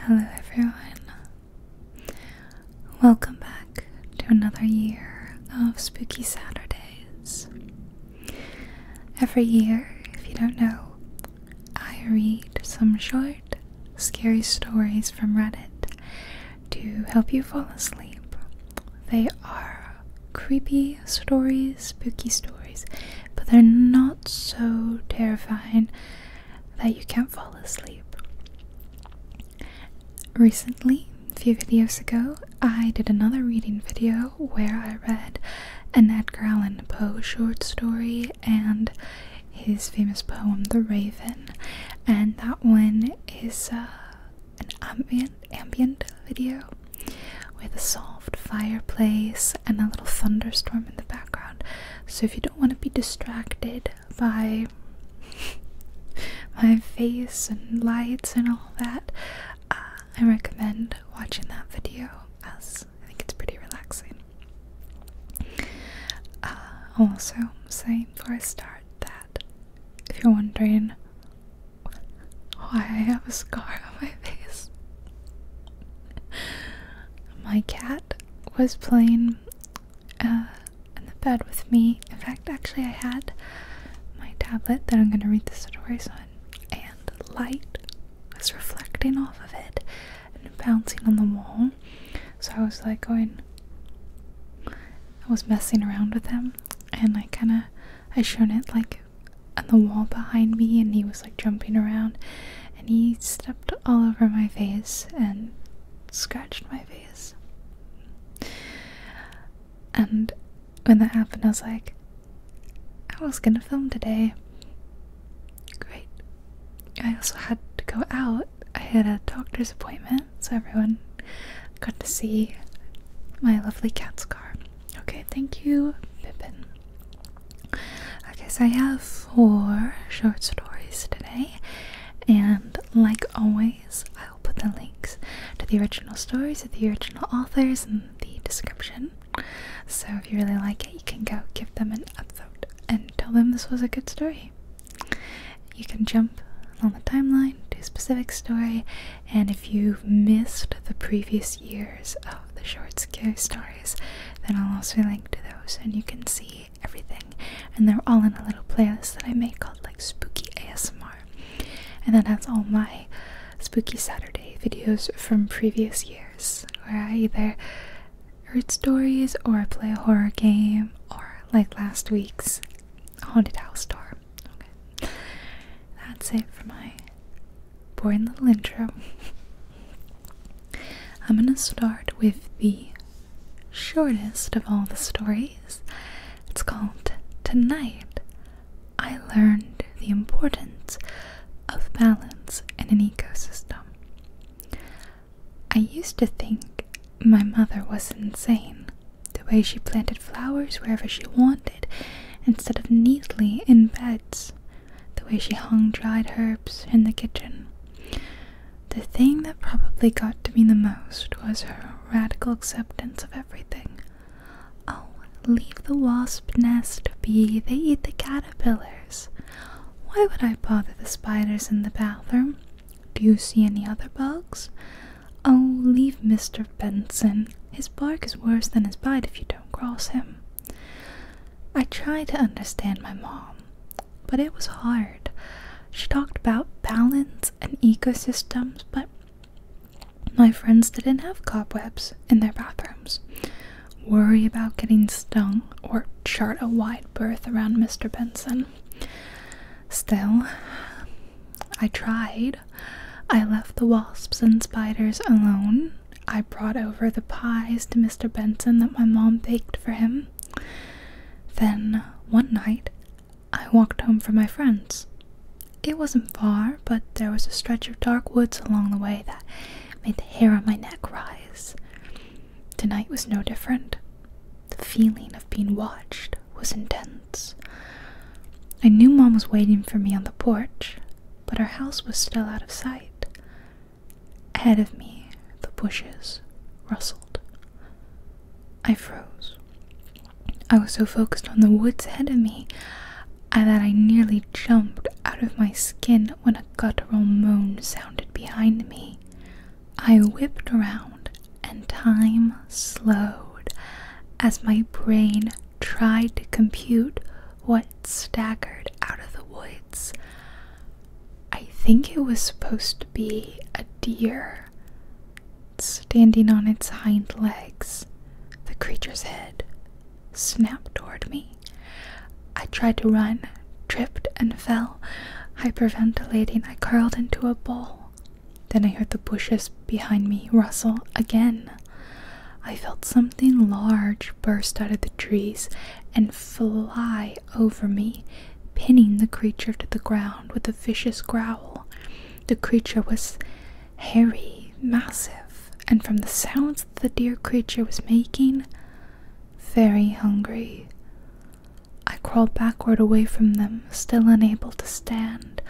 Hello, everyone. Welcome back to another year of Spooky Saturdays. Every year, if you don't know, I read some short, scary stories from Reddit to help you fall asleep. They are creepy stories, spooky stories, but they're not so terrifying that you can't fall asleep. Recently, a few videos ago, I did another reading video where I read an Edgar Allan Poe short story and his famous poem, The Raven, and that one is uh, an ambient, ambient video with a soft fireplace and a little thunderstorm in the background. So if you don't want to be distracted by my face and lights and all that, uh, I recommend watching that video as I think it's pretty relaxing. Uh, also, saying before I start that if you're wondering why I have a scar on my face, my cat was playing uh, in the bed with me. In fact, actually, I had my tablet that I'm going to read the story on, and light was reflecting off of it and bouncing on the wall. So I was like going, I was messing around with him, and I kind of I shone it like on the wall behind me and he was like jumping around and he stepped all over my face and scratched my face. And when that happened, I was like, I was gonna film today. Great. I also had to go out. I had a doctor's appointment, so everyone got to see my lovely cat scar. Okay, thank you, Pippin. Okay, so I have four short stories today, and like always, I'll put the links to the original stories of the original authors in the description. So if you really like it, you can go give them an upvote and tell them this was a good story. You can jump along the timeline to a specific story, and if you've missed the previous years of the short scary stories, then I'll also link to those and you can see everything. And they're all in a little playlist that I made called like Spooky ASMR. And then that's all my Spooky Saturday videos from previous years where I either read stories or I play a horror game or like last week's haunted house tour. That's it for my boring little intro. I'm going to start with the shortest of all the stories. It's called Tonight I Learned the Importance of Balance in an Ecosystem. I used to think my mother was insane, the way she planted flowers wherever she wanted instead of neatly in beds the way she hung dried herbs in the kitchen. The thing that probably got to me the most was her radical acceptance of everything. Oh, leave the wasp nest be, they eat the caterpillars. Why would I bother the spiders in the bathroom? Do you see any other bugs? Oh, leave Mr. Benson. His bark is worse than his bite if you don't cross him. I tried to understand my mom, but it was hard. She talked about balance and ecosystems, but my friends didn't have cobwebs in their bathrooms, worry about getting stung, or chart a wide berth around Mr. Benson. Still, I tried. I left the wasps and spiders alone I brought over the pies to Mr. Benson that my mom baked for him. Then one night, I walked home from my friends. It wasn't far, but there was a stretch of dark woods along the way that made the hair on my neck rise. Tonight was no different. The feeling of being watched was intense. I knew Mom was waiting for me on the porch, but her house was still out of sight. Ahead of me, the bushes rustled. I froze. I was so focused on the woods ahead of me uh, that I nearly jumped out of my skin when a guttural moan sounded behind me. I whipped around, and time slowed as my brain tried to compute what staggered out of the woods. I think it was supposed to be a deer standing on its hind legs. The creature's head snapped toward me. I tried to run, tripped, and fell. Hyperventilating, I curled into a ball. Then I heard the bushes behind me rustle again. I felt something large burst out of the trees and fly over me, pinning the creature to the ground with a vicious growl. The creature was hairy, massive, and from the sounds that the dear creature was making, very hungry. I crawled backward away from them, still unable to stand.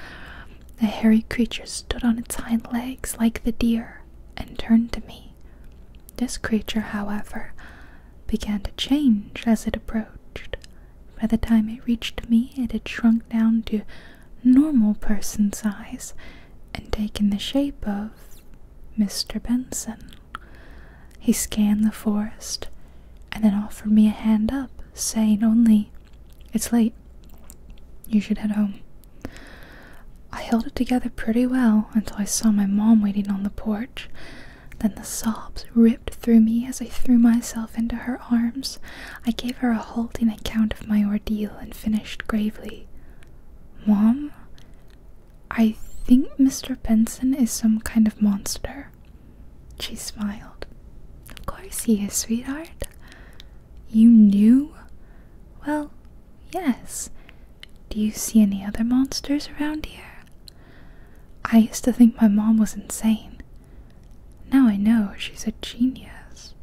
The hairy creature stood on its hind legs like the deer and turned to me. This creature, however, began to change as it approached. By the time it reached me, it had shrunk down to normal person size and taken the shape of Mr. Benson. He scanned the forest and then offered me a hand up, saying only, It's late. You should head home. I held it together pretty well until I saw my mom waiting on the porch. Then the sobs ripped through me as I threw myself into her arms. I gave her a halting account of my ordeal and finished gravely. Mom, I think Mr. Benson is some kind of monster. She smiled. Of course he is, sweetheart. You knew? Well, Yes. Do you see any other monsters around here? I used to think my mom was insane. Now I know she's a genius.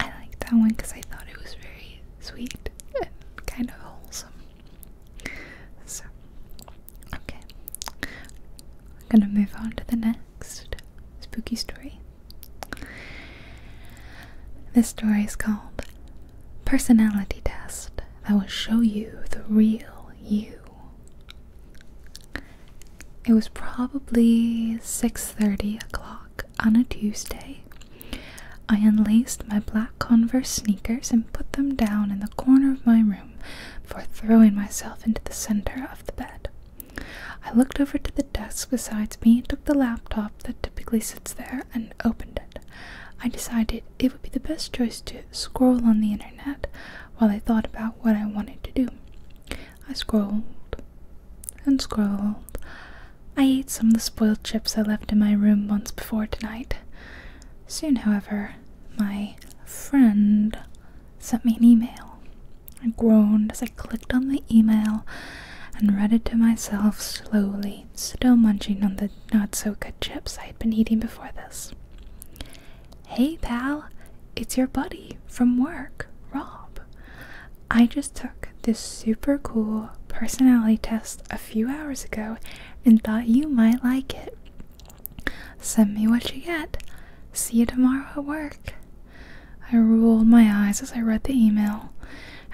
I like that one because I thought it was very sweet and kind of wholesome. So, okay. I'm gonna move on to the next spooky story. This story is called Personality Test That Will Show You the Real You. It was probably 6:30 o'clock on a Tuesday. I unlaced my black Converse sneakers and put them down in the corner of my room for throwing myself into the center of the bed. I looked over to the desk beside me, and took the laptop that typically sits there, and opened it. I decided it would be the best choice to scroll on the internet while I thought about what I wanted to do. I scrolled and scrolled. I ate some of the spoiled chips I left in my room once before tonight. Soon, however, my friend sent me an email. I groaned as I clicked on the email and read it to myself slowly, still munching on the not so good chips I had been eating before this. Hey, pal, it's your buddy from work, Rob. I just took this super cool personality test a few hours ago and thought you might like it. Send me what you get. See you tomorrow at work. I rolled my eyes as I read the email.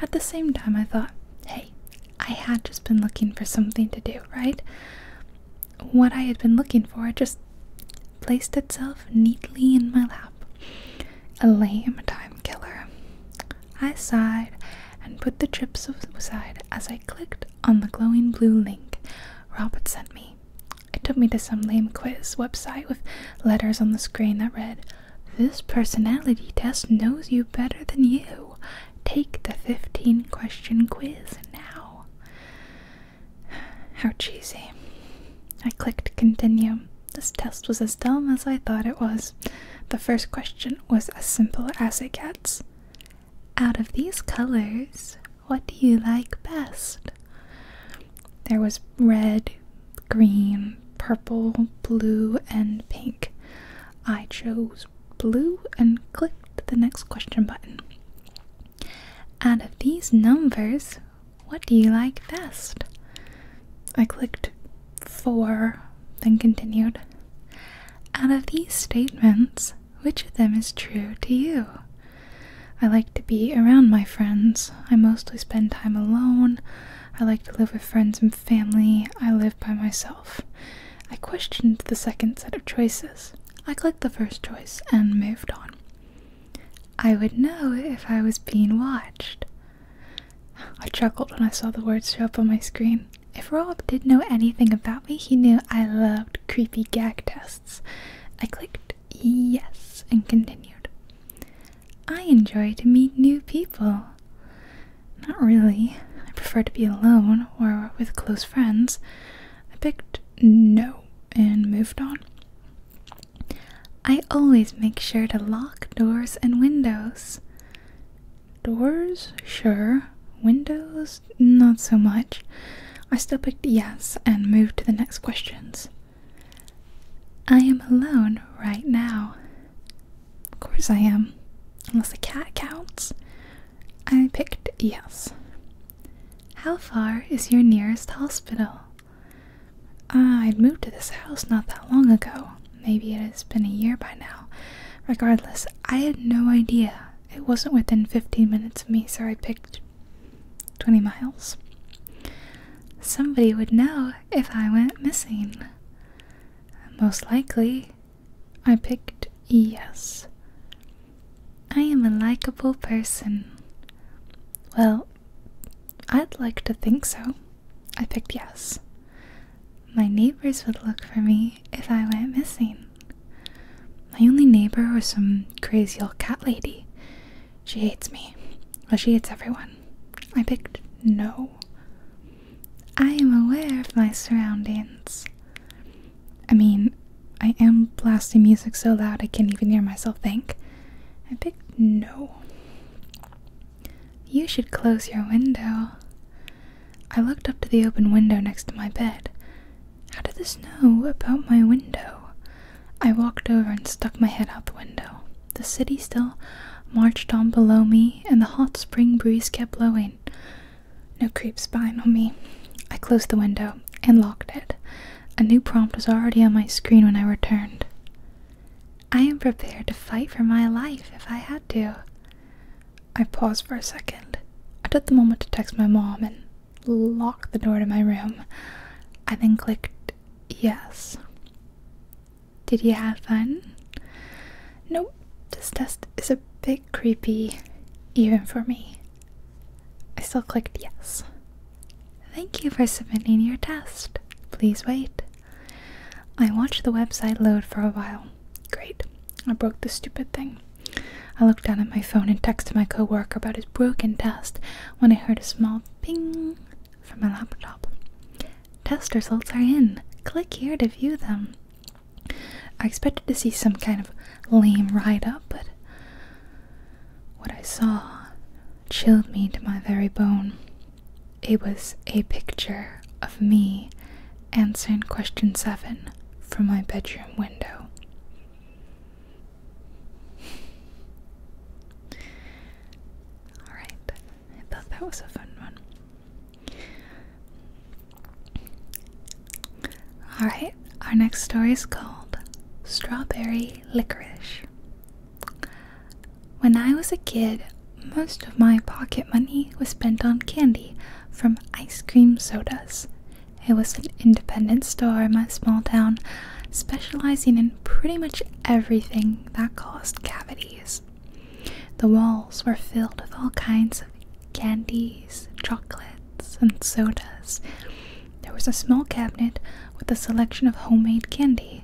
At the same time, I thought, hey, I had just been looking for something to do, right? What I had been looking for just placed itself neatly in my lap. A lame time killer. I sighed and put the chips aside as I clicked on the glowing blue link Robert sent me. It took me to some lame quiz website with letters on the screen that read, This personality test knows you better than you. Take the 15 question quiz now. How cheesy. I clicked continue. This test was as dumb as I thought it was. The first question was as simple as it gets. Out of these colors, what do you like best? There was red, green, purple, blue, and pink. I chose blue and clicked the next question button. Out of these numbers, what do you like best? I clicked 4, then continued. Out of these statements, which of them is true to you? I like to be around my friends. I mostly spend time alone. I like to live with friends and family. I live by myself. I questioned the second set of choices. I clicked the first choice and moved on. I would know if I was being watched. I chuckled when I saw the words show up on my screen. If Rob did know anything about me, he knew I loved creepy gag tests. I clicked Yes, and continued. I enjoy to meet new people. Not really. I prefer to be alone or with close friends. I picked no and moved on. I always make sure to lock doors and windows. Doors? Sure. Windows? Not so much. I still picked yes and moved to the next questions. I am alone right now. Of course I am. Unless the cat counts. I picked yes. How far is your nearest hospital? Ah, I'd moved to this house not that long ago. Maybe it has been a year by now. Regardless, I had no idea. It wasn't within 15 minutes of me, so I picked 20 miles. Somebody would know if I went missing? Most likely, I picked yes. I am a likable person. Well, I'd like to think so. I picked yes. My neighbors would look for me if I went missing. My only neighbor was some crazy old cat lady she hates me. Well, she hates everyone. I picked no. I am aware of my surroundings. I mean, I am blasting music so loud I can't even hear myself think. I picked no. You should close your window. I looked up to the open window next to my bed. How did this know about my window? I walked over and stuck my head out the window. The city still marched on below me, and the hot spring breeze kept blowing. No creep spying on me. I closed the window and locked it. A new prompt was already on my screen when I returned. I am prepared to fight for my life if I had to. I paused for a second. I took the moment to text my mom and lock the door to my room. I then clicked yes. Did you have fun? Nope, this test is a bit creepy, even for me. I still clicked yes. Thank you for submitting your test. Please wait. I watched the website load for a while. Great. I broke the stupid thing. I looked down at my phone and texted my coworker about his broken test when I heard a small ping from my laptop. Test results are in. Click here to view them. I expected to see some kind of lame write up, but what I saw chilled me to my very bone. It was a picture of me answering question 7 from my bedroom window. Alright, I thought that was a fun one. Alright, our next story is called Strawberry Licorice. When I was a kid, most of my pocket money was spent on candy from ice cream sodas. It was an independent store in my small town specializing in pretty much everything that caused cavities. The walls were filled with all kinds of candies, chocolates, and sodas. There was a small cabinet with a selection of homemade candy.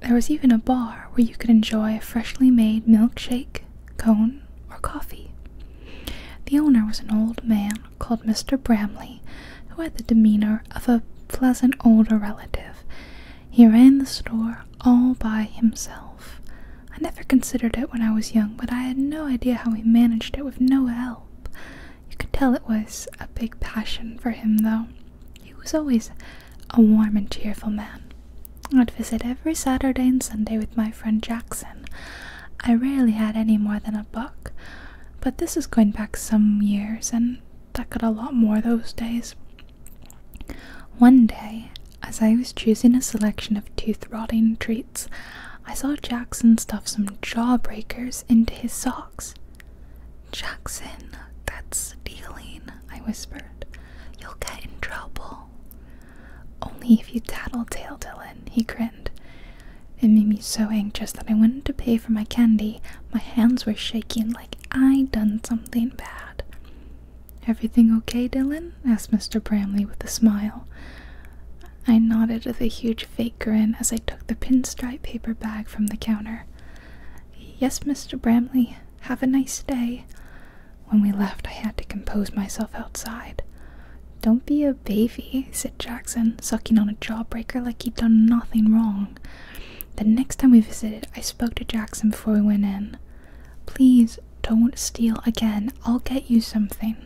There was even a bar where you could enjoy a freshly made milkshake, cone, or coffee. The owner was an old man called Mr. Bramley, who had the demeanor of a pleasant older relative. He ran the store all by himself. I never considered it when I was young, but I had no idea how he managed it with no help. You could tell it was a big passion for him, though. He was always a warm and cheerful man. I'd visit every Saturday and Sunday with my friend Jackson. I rarely had any more than a buck, but this is going back some years, and that got a lot more those days. One day, as I was choosing a selection of tooth rotting treats, I saw Jackson stuff some jawbreakers into his socks. Jackson, that's stealing, I whispered. You'll get in trouble. Only if you tattle tale, Dylan, he grinned. It made me so anxious that I wanted to pay for my candy. My hands were shaking like I done something bad. Everything okay, Dylan? asked Mr. Bramley with a smile. I nodded with a huge fake grin as I took the pinstripe paper bag from the counter. Yes, Mr. Bramley, have a nice day. When we left, I had to compose myself outside. Don't be a baby, said Jackson, sucking on a jawbreaker like he'd done nothing wrong. The next time we visited, I spoke to Jackson before we went in. Please don't steal again. I'll get you something.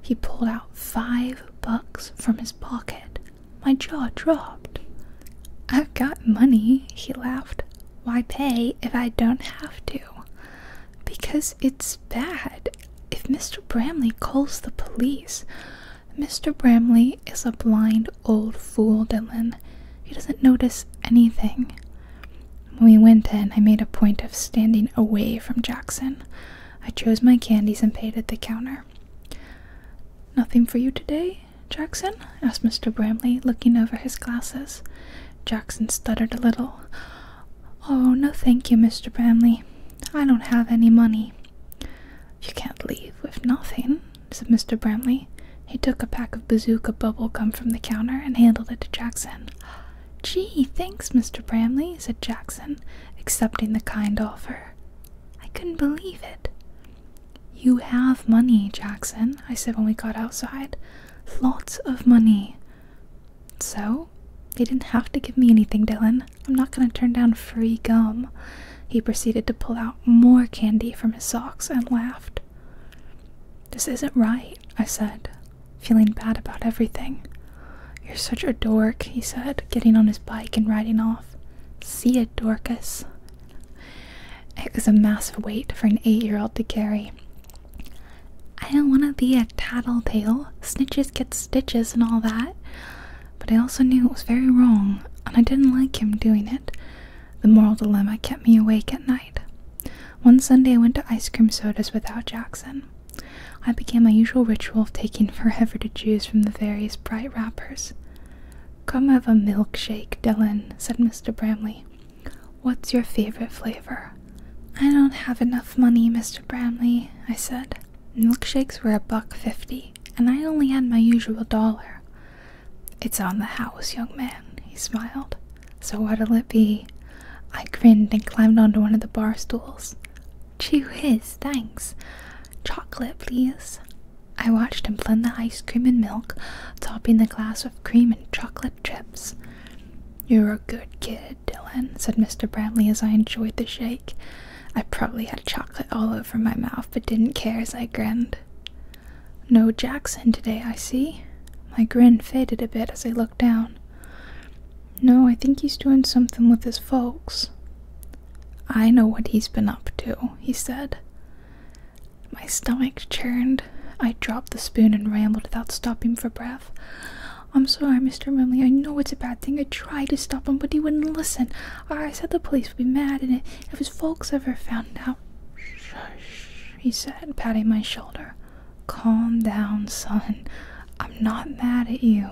He pulled out five bucks from his pocket. My jaw dropped. I've got money, he laughed. Why pay if I don't have to? Because it's bad. If Mr. Bramley calls the police, Mr. Bramley is a blind old fool, Dylan. He doesn't notice anything. When we went in, I made a point of standing away from Jackson. I chose my candies and paid at the counter. Nothing for you today, Jackson? asked Mr. Bramley, looking over his glasses. Jackson stuttered a little. Oh, no, thank you, Mr. Bramley. I don't have any money. You can't leave with nothing, said Mr. Bramley. He took a pack of bazooka bubble gum from the counter and handed it to Jackson. Gee, thanks, Mr. Bramley, said Jackson, accepting the kind offer. I couldn't believe it. You have money, Jackson, I said when we got outside. Lots of money. So? They didn't have to give me anything, Dylan. I'm not going to turn down free gum. He proceeded to pull out more candy from his socks and laughed. This isn't right, I said, feeling bad about everything. You're such a dork, he said, getting on his bike and riding off. See it, Dorcas. It was a massive weight for an eight year old to carry. I don't want to be a tattletale. Snitches get stitches and all that but I also knew it was very wrong, and I didn't like him doing it. The moral dilemma kept me awake at night. One Sunday, I went to ice cream sodas without Jackson. I began my usual ritual of taking forever to choose from the various bright wrappers. Come have a milkshake, Dillon said Mr. Bramley. What's your favorite flavor? I don't have enough money, Mr. Bramley, I said. Milkshakes were a buck fifty and I only had my usual dollar. It's on the house, young man, he smiled. So what'll it be? I grinned and climbed onto one of the bar stools. Chew his, thanks. Chocolate, please. I watched him blend the ice cream and milk, topping the glass with cream and chocolate chips. You're a good kid, Dylan, said Mr. Bradley as I enjoyed the shake. I probably had chocolate all over from my mouth, but didn't care as I grinned. No Jackson today, I see. My grin faded a bit as I looked down. No, I think he's doing something with his folks. I know what he's been up to, he said. My stomach churned. I dropped the spoon and rambled without stopping for breath. I'm sorry, Mr. Remley. I know it's a bad thing. I tried to stop him, but he wouldn't listen. I said the police would be mad, and it, if his folks ever found out, shush, he said, patting my shoulder. Calm down, son. I'm not mad at you.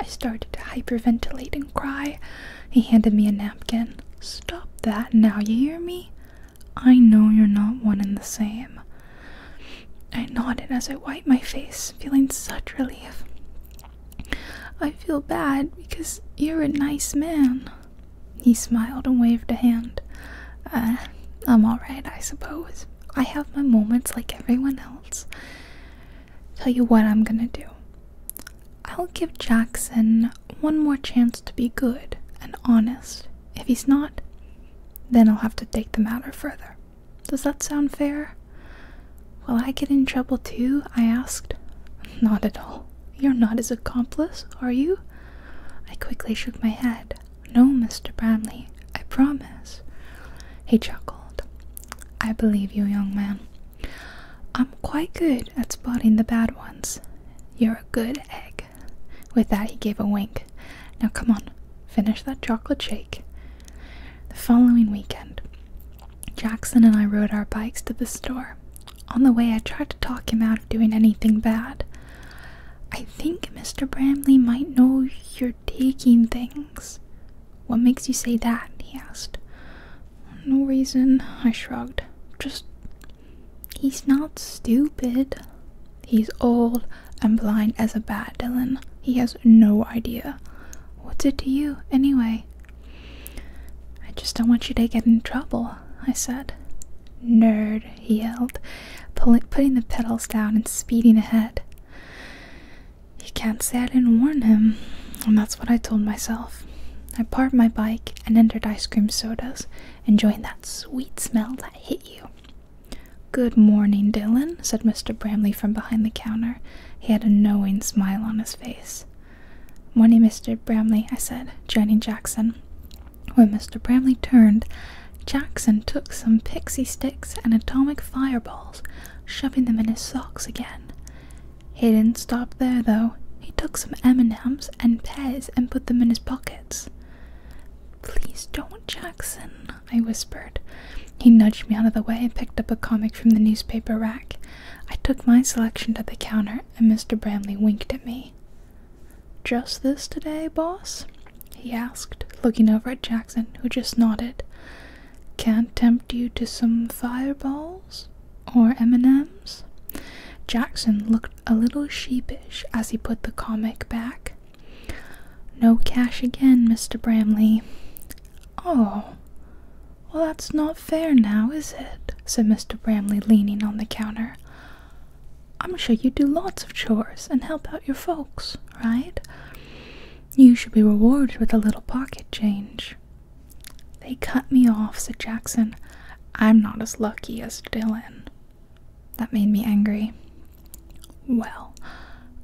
I started to hyperventilate and cry. He handed me a napkin. Stop that now, you hear me? I know you're not one and the same. I nodded as I wiped my face, feeling such relief. I feel bad because you're a nice man. He smiled and waved a hand. Uh, I'm alright, I suppose. I have my moments like everyone else. Tell you what I'm gonna do. I'll give Jackson one more chance to be good and honest. If he's not, then I'll have to take the matter further. Does that sound fair? Will I get in trouble too? I asked. Not at all. You're not his accomplice, are you? I quickly shook my head. No, Mr. Bramley, I promise. He chuckled. I believe you, young man. I'm quite good at spotting the bad ones. You're a good egg. With that, he gave a wink. Now come on, finish that chocolate shake. The following weekend, Jackson and I rode our bikes to the store. On the way, I tried to talk him out of doing anything bad. I think Mr. Bramley might know you're taking things. What makes you say that? he asked. No reason, I shrugged. Just. He's not stupid. He's old and blind as a bat, Dylan. He has no idea. What's it to you, anyway? I just don't want you to get in trouble, I said. Nerd, he yelled, putting the pedals down and speeding ahead. You can't say I didn't warn him, and that's what I told myself. I parked my bike and entered ice cream sodas, enjoying that sweet smell that hit you. Good morning, Dylan, said Mr. Bramley from behind the counter. He had a knowing smile on his face. Morning, Mr. Bramley, I said, joining Jackson. When Mr. Bramley turned, Jackson took some pixie sticks and atomic fireballs, shoving them in his socks again. He didn't stop there, though. He took some M&Ms and pears and put them in his pockets. Please don't, Jackson, I whispered. He nudged me out of the way and picked up a comic from the newspaper rack. I took my selection to the counter, and Mr. Bramley winked at me. Just this today, boss? he asked, looking over at Jackson, who just nodded. Can't tempt you to some fireballs? Or M&Ms? Jackson looked a little sheepish as he put the comic back. No cash again, Mr. Bramley. Oh, well, that's not fair now, is it? said Mr. Bramley, leaning on the counter. I'm sure you do lots of chores and help out your folks, right? You should be rewarded with a little pocket change. They cut me off, said Jackson. I'm not as lucky as Dylan. That made me angry. Well,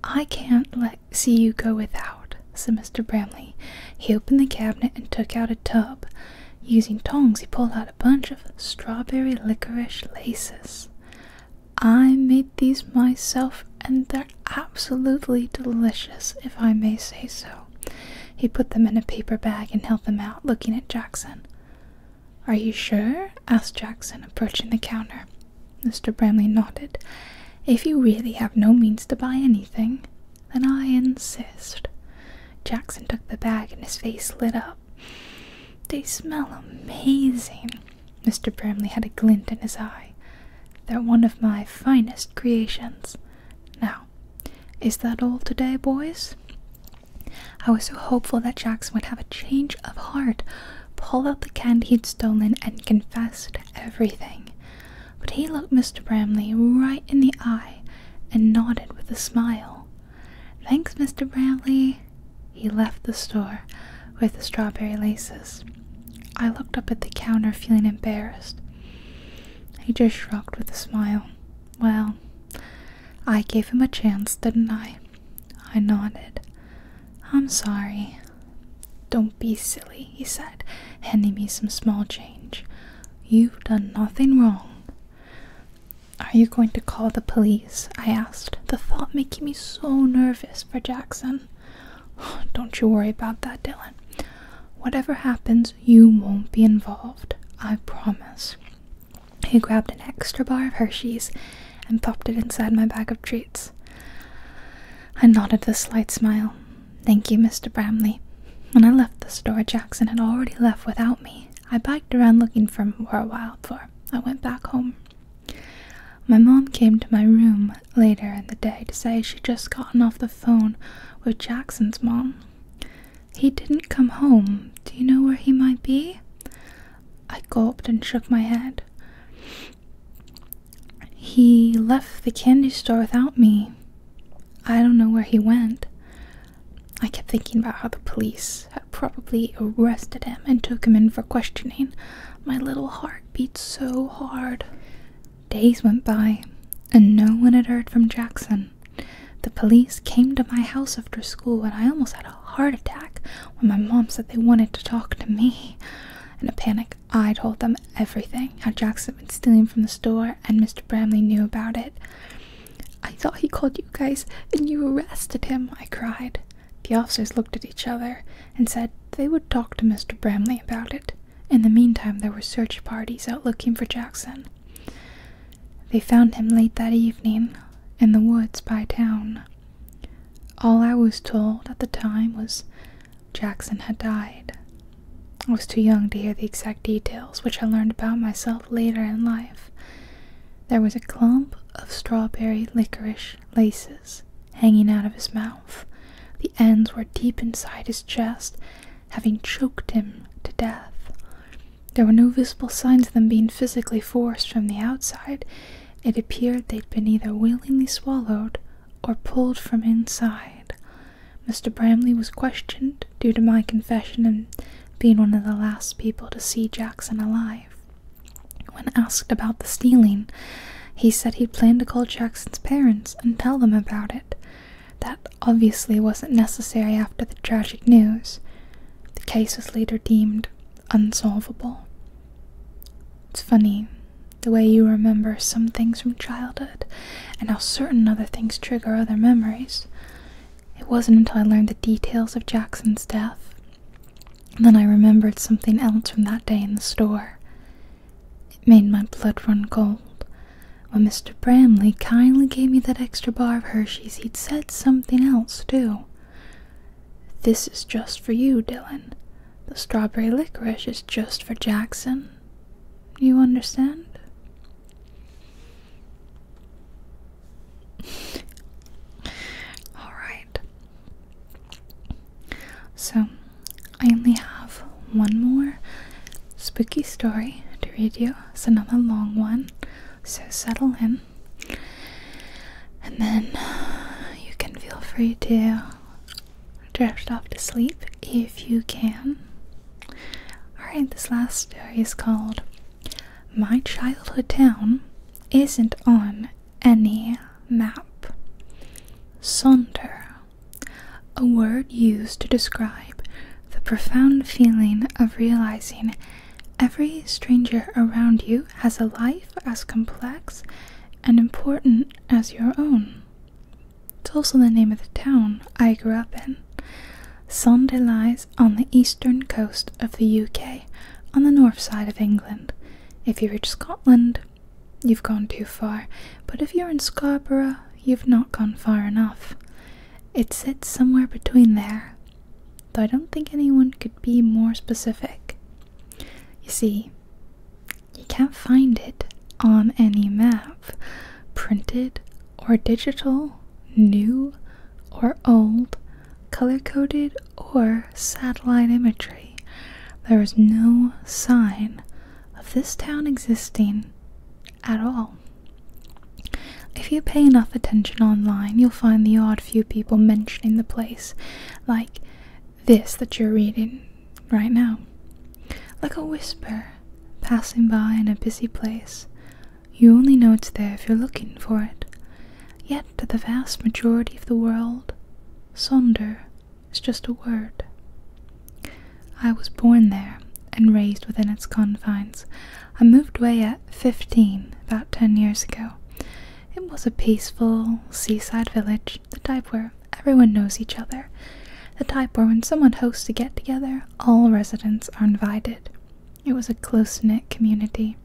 I can't let see you go without said Mr. Bramley. He opened the cabinet and took out a tub. Using tongs, he pulled out a bunch of strawberry licorice laces. I made these myself, and they're absolutely delicious, if I may say so. He put them in a paper bag and held them out, looking at Jackson. Are you sure? asked Jackson, approaching the counter. Mr. Bramley nodded. If you really have no means to buy anything, then I insist. Jackson took the bag and his face lit up. They smell amazing. Mr. Bramley had a glint in his eye. They're one of my finest creations. Now, is that all today, boys? I was so hopeful that Jackson would have a change of heart, pull out the candy he'd stolen, and confess everything. But he looked Mr. Bramley right in the eye and nodded with a smile. Thanks, Mr. Bramley. He left the store with the strawberry laces. I looked up at the counter feeling embarrassed. He just shrugged with a smile. Well, I gave him a chance, didn't I? I nodded. I'm sorry. Don't be silly, he said, handing me some small change. You've done nothing wrong. Are you going to call the police? I asked, the thought making me so nervous for Jackson. don't you worry about that, Dylan. Whatever happens, you won't be involved. I promise. He grabbed an extra bar of Hershey's and popped it inside my bag of treats. I nodded with a slight smile. Thank you, Mr. Bramley. When I left the store, Jackson had already left without me. I biked around looking for him for a while before I went back home. My mom came to my room later in the day to say she'd just gotten off the phone with Jackson's mom. He didn't come home. Do you know where he might be? I gulped and shook my head. He left the candy store without me. I don't know where he went. I kept thinking about how the police had probably arrested him and took him in for questioning. My little heart beat so hard. Days went by, and no one had heard from Jackson. The police came to my house after school, and I almost had a heart attack when my mom said they wanted to talk to me. In a panic, I told them everything how Jackson had been stealing from the store and Mr. Bramley knew about it. I thought he called you guys and you arrested him, I cried. The officers looked at each other and said they would talk to Mr. Bramley about it. In the meantime, there were search parties out looking for Jackson. They found him late that evening in the woods by town. All I was told at the time was Jackson had died. I was too young to hear the exact details, which I learned about myself later in life. There was a clump of strawberry licorice laces hanging out of his mouth. The ends were deep inside his chest, having choked him to death. There were no visible signs of them being physically forced from the outside. It appeared they'd been either willingly swallowed or pulled from inside. Mr. Bramley was questioned due to my confession and being one of the last people to see Jackson alive. When asked about the stealing, he said he'd planned to call Jackson's parents and tell them about it. That obviously wasn't necessary after the tragic news. The case was later deemed unsolvable. It's funny the way you remember some things from childhood and how certain other things trigger other memories. It wasn't until I learned the details of Jackson's death that I remembered something else from that day in the store. It made my blood run cold. When Mr. Bramley kindly gave me that extra bar of Hershey's, he'd said something else, too. This is just for you, Dylan. The strawberry licorice is just for Jackson. You understand? Alright. So, I only have one more spooky story to read you. It's another long one, so settle in. And then you can feel free to drift off to sleep if you can. Alright, this last story is called My Childhood Town Isn't on Any Map. Sonder, a word used to describe the profound feeling of realizing every stranger around you has a life as complex and important as your own. It's also the name of the town I grew up in. Sunday lies on the eastern coast of the UK, on the north side of England. If you reach Scotland, you've gone too far, but if you're in Scarborough, you've not gone far enough. It sits somewhere between there, though I don't think anyone could be more specific. You see, you can't find it on any map printed or digital, new or old, color coded or satellite imagery. There is no sign of this town existing at all. If you pay enough attention online, you'll find the odd few people mentioning the place, like this that you're reading right now. Like a whisper passing by in a busy place, you only know it's there if you're looking for it. Yet, to the vast majority of the world, Sonder is just a word. I was born there and raised within its confines. I moved away at 15, about 10 years ago. It was a peaceful seaside village, the type where everyone knows each other the type where when someone hosts a get together, all residents are invited. It was a close knit community.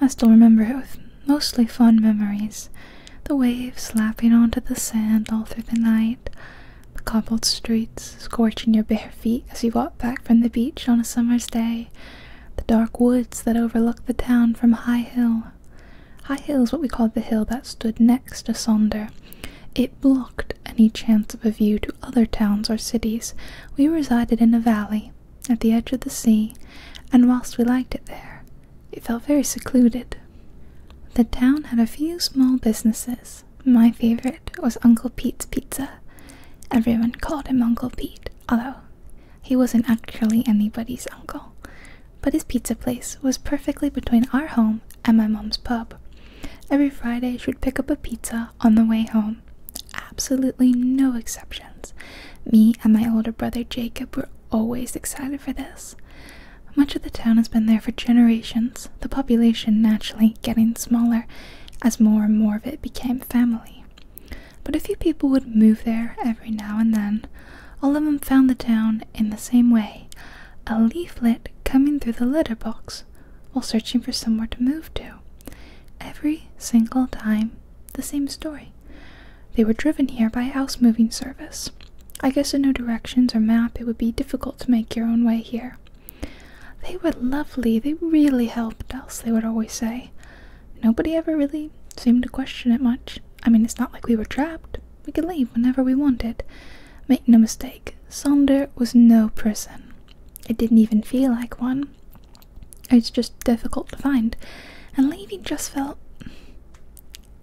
I still remember it with mostly fond memories the waves lapping onto the sand all through the night, the cobbled streets scorching your bare feet as you walk back from the beach on a summer's day, the dark woods that overlooked the town from High Hill. High Hill is what we called the hill that stood next to Sonder. It blo any chance of a view to other towns or cities, we resided in a valley at the edge of the sea, and whilst we liked it there, it felt very secluded. The town had a few small businesses. My favorite was Uncle Pete's Pizza. Everyone called him Uncle Pete, although he wasn't actually anybody's uncle. But his pizza place was perfectly between our home and my mum's pub, Every Friday, she would pick up a pizza on the way home. Absolutely no exceptions. Me and my older brother Jacob were always excited for this. Much of the town has been there for generations, the population naturally getting smaller as more and more of it became family. But a few people would move there every now and then. All of them found the town in the same way a leaflet coming through the letterbox, while searching for somewhere to move to. Every single time, the same story. They were driven here by a house moving service. I guess in no directions or map, it would be difficult to make your own way here. They were lovely, they really helped us, they would always say. Nobody ever really seemed to question it much. I mean, it's not like we were trapped, we could leave whenever we wanted. Make no mistake, Sonder was no prison. It didn't even feel like one. It's just difficult to find, and leaving just felt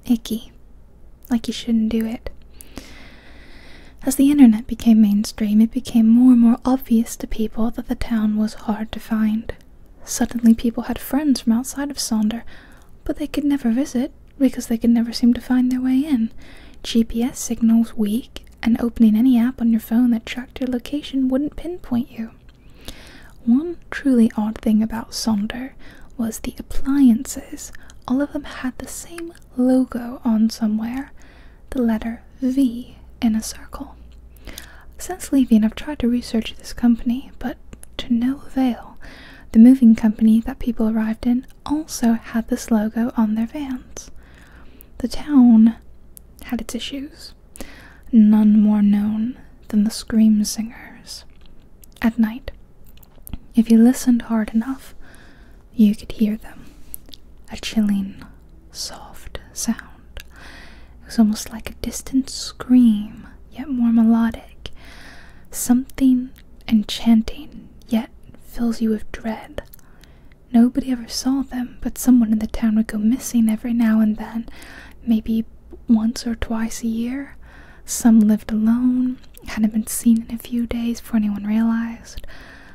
icky. Like you shouldn't do it. As the internet became mainstream, it became more and more obvious to people that the town was hard to find. Suddenly, people had friends from outside of Sonder, but they could never visit because they could never seem to find their way in. GPS signals weak, and opening any app on your phone that tracked your location wouldn't pinpoint you. One truly odd thing about Sonder was the appliances. All of them had the same logo on somewhere, the letter V in a circle. Since leaving, I've tried to research this company, but to no avail. The moving company that people arrived in also had this logo on their vans. The town had its issues, none more known than the Scream Singers. At night, if you listened hard enough, you could hear them. A chilling, soft sound. It was almost like a distant scream, yet more melodic. Something enchanting, yet fills you with dread. Nobody ever saw them, but someone in the town would go missing every now and then, maybe once or twice a year. Some lived alone, hadn't been seen in a few days before anyone realized.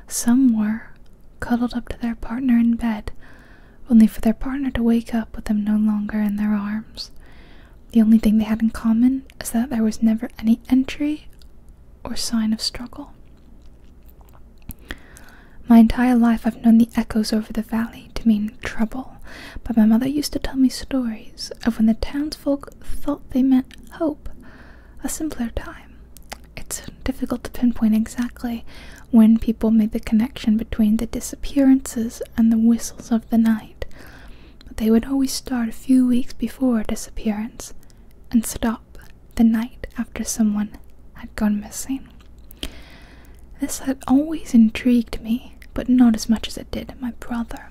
Some were cuddled up to their partner in bed, only for their partner to wake up with them no longer in their arms. The only thing they had in common is that there was never any entry or sign of struggle. My entire life I've known the echoes over the valley to mean trouble, but my mother used to tell me stories of when the townsfolk thought they meant hope, a simpler time. It's difficult to pinpoint exactly when people made the connection between the disappearances and the whistles of the night, but they would always start a few weeks before a disappearance and stop the night after someone had gone missing. This had always intrigued me, but not as much as it did my brother.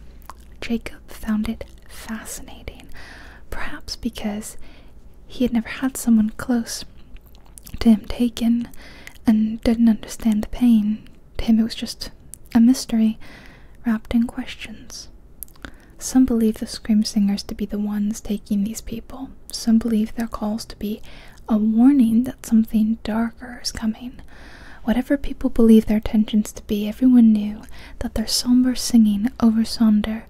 Jacob found it fascinating, perhaps because he had never had someone close to him taken and didn't understand the pain. To him, it was just a mystery wrapped in questions. Some believe the scream singers to be the ones taking these people. Some believe their calls to be a warning that something darker is coming. Whatever people believe their intentions to be, everyone knew that their somber singing over Sonder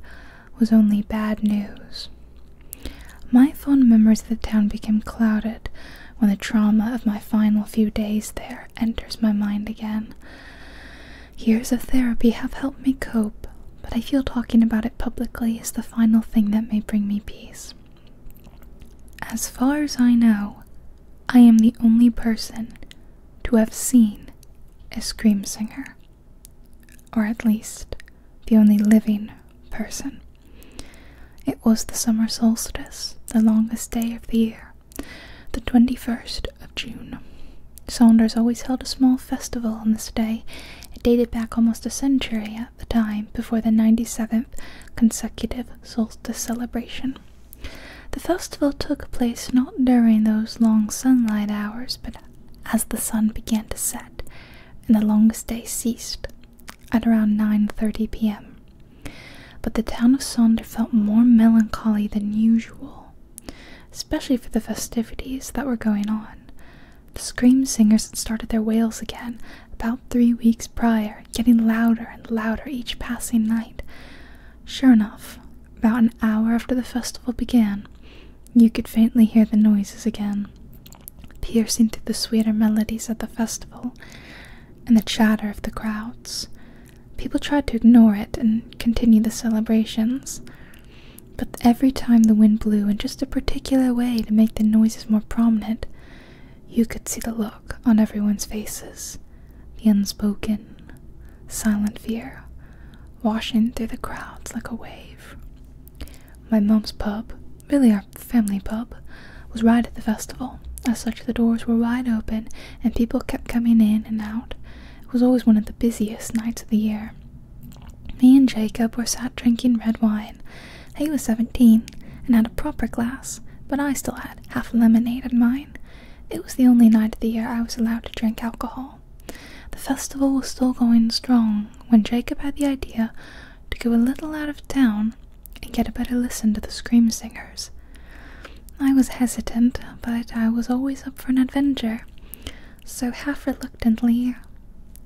was only bad news. My fond memories of the town became clouded when the trauma of my final few days there enters my mind again. Years of therapy have helped me cope, but I feel talking about it publicly is the final thing that may bring me peace. As far as I know, I am the only person to have seen a scream singer, or at least the only living person. It was the summer solstice, the longest day of the year the 21st of June. Saunders always held a small festival on this day. It dated back almost a century at the time before the 97th consecutive solstice celebration. The festival took place not during those long sunlight hours, but as the sun began to set and the longest day ceased at around 9:30 p.m. But the town of Saunders felt more melancholy than usual especially for the festivities that were going on. The scream singers had started their wails again about three weeks prior, getting louder and louder each passing night. Sure enough, about an hour after the festival began, you could faintly hear the noises again, piercing through the sweeter melodies of the festival and the chatter of the crowds. People tried to ignore it and continue the celebrations. But every time the wind blew in just a particular way to make the noises more prominent, you could see the look on everyone's faces, the unspoken, silent fear, washing through the crowds like a wave. My mom's pub, really our family pub, was right at the festival. As such, the doors were wide open and people kept coming in and out, it was always one of the busiest nights of the year. Me and Jacob were sat drinking red wine. He was seventeen and had a proper glass, but I still had half a lemonade in mine. It was the only night of the year I was allowed to drink alcohol. The festival was still going strong when Jacob had the idea to go a little out of town and get a better listen to the scream singers. I was hesitant, but I was always up for an adventure, so half reluctantly,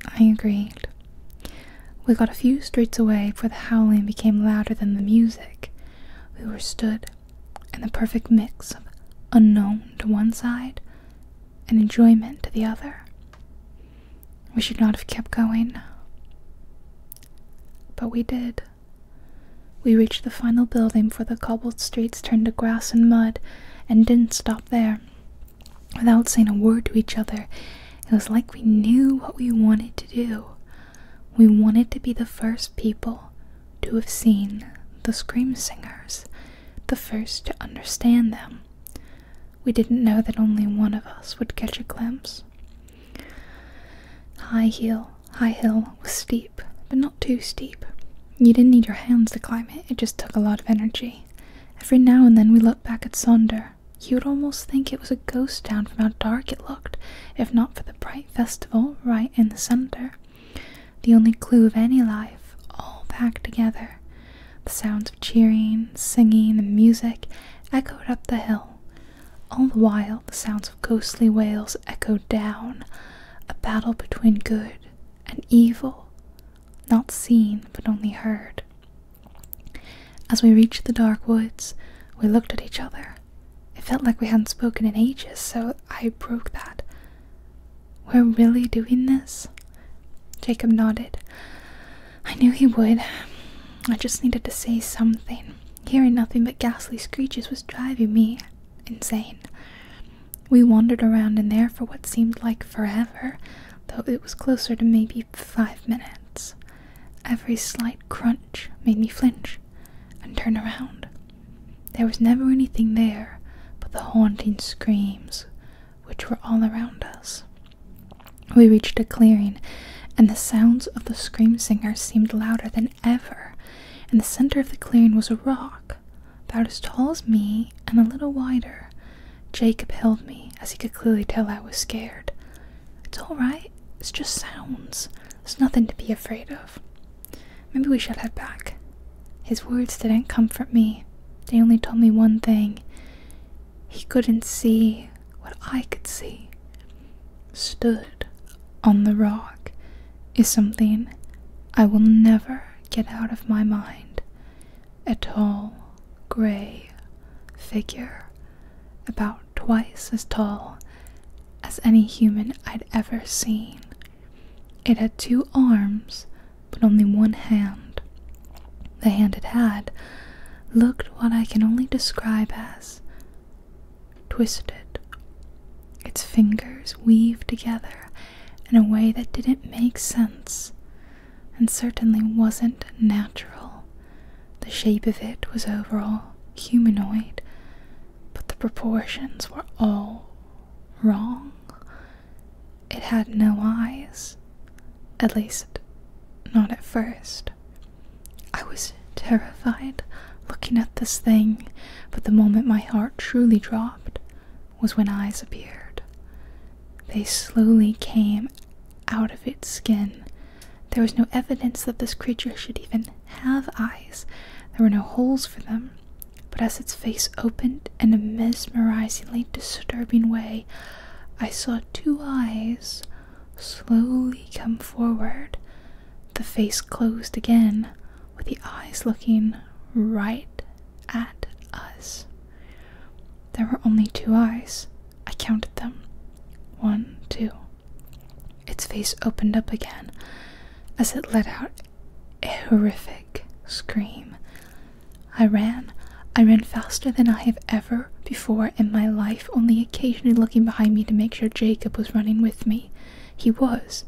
I agreed. We got a few streets away before the howling became louder than the music. We were stood in a perfect mix of unknown to one side and enjoyment to the other. We should not have kept going, but we did. We reached the final building, for the cobbled streets turned to grass and mud, and didn't stop there. Without saying a word to each other, it was like we knew what we wanted to do. We wanted to be the first people to have seen the Scream Singers, the first to understand them. We didn't know that only one of us would catch a glimpse. High heel high hill was steep, but not too steep. You didn't need your hands to climb it, it just took a lot of energy. Every now and then we looked back at Sonder. You would almost think it was a ghost town from how dark it looked, if not for the bright festival right in the center. The only clue of any life, all packed together. The sounds of cheering, singing, and music echoed up the hill. All the while, the sounds ghostly wails echoed down, a battle between good and evil, not seen but only heard. As we reached the dark woods, we looked at each other. It felt like we hadn't spoken in ages, so I broke that. We're really doing this? Jacob nodded. I knew he would. I just needed to say something. Hearing nothing but ghastly screeches was driving me insane. We wandered around in there for what seemed like forever, though it was closer to maybe five minutes. Every slight crunch made me flinch and turn around. There was never anything there but the haunting screams which were all around us. We reached a clearing, and the sounds of the scream singers seemed louder than ever, in the center of the clearing was a rock, about as tall as me and a little wider. Jacob held me, as he could clearly tell I was scared. It's all right, it's just sounds. There's nothing to be afraid of. Maybe we should head back. His words didn't comfort me. They only told me one thing. He couldn't see what I could see stood on the rock is something I will never get out of my mind. A tall, gray figure, about twice as tall as any human I'd ever seen. It had two arms, but only one hand. The hand it had looked what I can only describe as twisted. Its fingers weaved together in a way that didn't make sense and certainly wasn't natural. The shape of it was overall humanoid, but the proportions were all wrong. It had no eyes, at least, not at first. I was terrified looking at this thing, but the moment my heart truly dropped was when eyes appeared. They slowly came out of its skin. There was no evidence that this creature should even have eyes. There were no holes for them. But as its face opened in a mesmerizingly disturbing way, I saw two eyes slowly come forward. The face closed again, with the eyes looking right at us. There were only two eyes. I counted them. One, two. Its face opened up again as it let out a horrific scream. I ran. I ran faster than I have ever before in my life, only occasionally looking behind me to make sure Jacob was running with me. He was.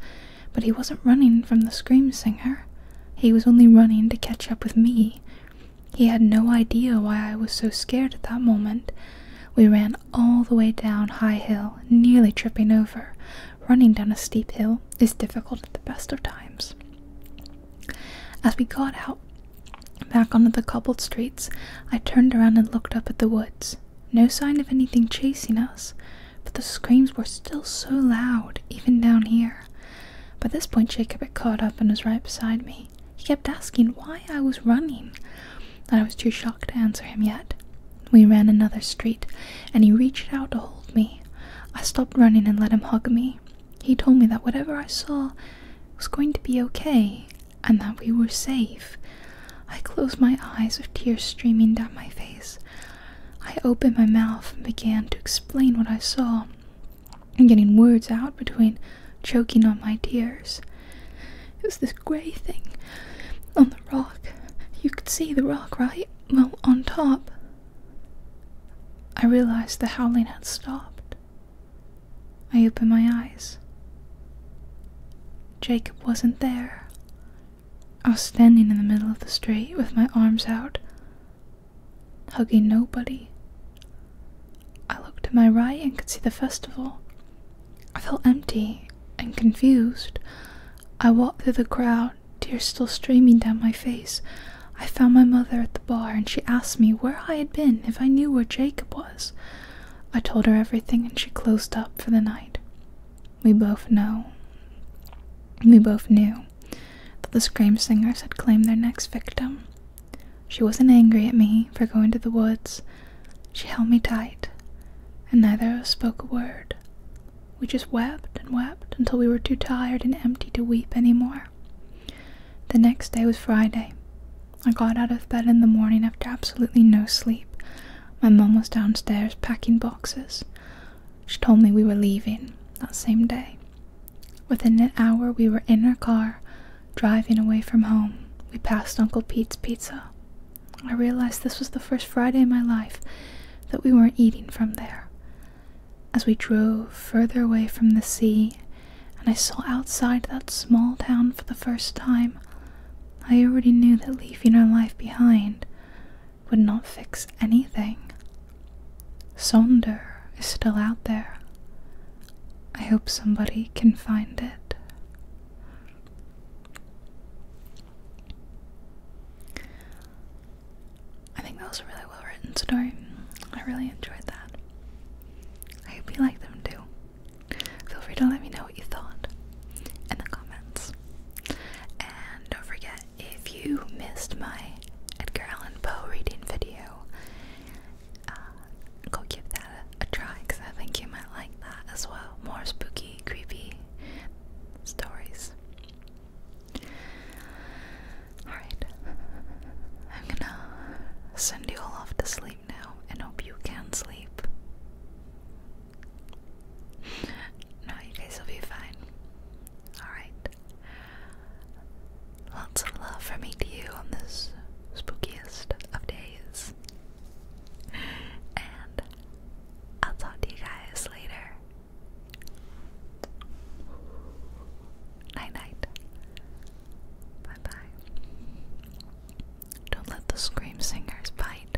But he wasn't running from the scream singer. He was only running to catch up with me. He had no idea why I was so scared at that moment. We ran all the way down High Hill, nearly tripping over. Running down a steep hill is difficult at the best of times. As we got out back onto the cobbled streets, I turned around and looked up at the woods. No sign of anything chasing us, but the screams were still so loud, even down here. By this point, Jacob had caught up and was right beside me. He kept asking why I was running, and I was too shocked to answer him yet. We ran another street, and he reached out to hold me. I stopped running and let him hug me. He told me that whatever I saw was going to be okay, and that we were safe. I closed my eyes with tears streaming down my face. I opened my mouth and began to explain what I saw, and getting words out between choking on my tears. It was this grey thing on the rock. You could see the rock, right? Well, on top. I realized the howling had stopped. I opened my eyes. Jacob wasn't there. I was standing in the middle of the street with my arms out, hugging nobody. I looked to my right and could see the festival. I felt empty and confused. I walked through the crowd, tears still streaming down my face. I found my mother at the bar and she asked me where I had been if I knew where Jacob was. I told her everything and she closed up for the night. We both know. We both knew that the Scream Singers had claimed their next victim. She wasn't angry at me for going to the woods. She held me tight, and neither of us spoke a word. We just wept and wept until we were too tired and empty to weep any more. The next day was Friday. I got out of bed in the morning after absolutely no sleep. My mom was downstairs packing boxes. She told me we were leaving that same day. Within an hour, we were in our car, driving away from home. We passed Uncle Pete's Pizza. I realized this was the first Friday in my life that we weren't eating from there. As we drove further away from the sea, and I saw outside that small town for the first time, I already knew that leaving our life behind would not fix anything. Sonder is still out there. I hope somebody can find it. I think that was a really well written story. I really enjoyed that. I hope you like them too. Feel free to let me know what you thought in the comments. And don't forget, if you missed my Edgar Allan Poe reading video, uh, go give that a, a try because I think you might like that as well. More spooky, creepy stories. Alright, I'm gonna send you all off to sleep now and hope you can sleep. No, you guys will be fine. Alright. Lots of love from me to you on this spookiest of days. And I'll talk to you guys later. Night night. Bye bye. Don't let the scream singers bite.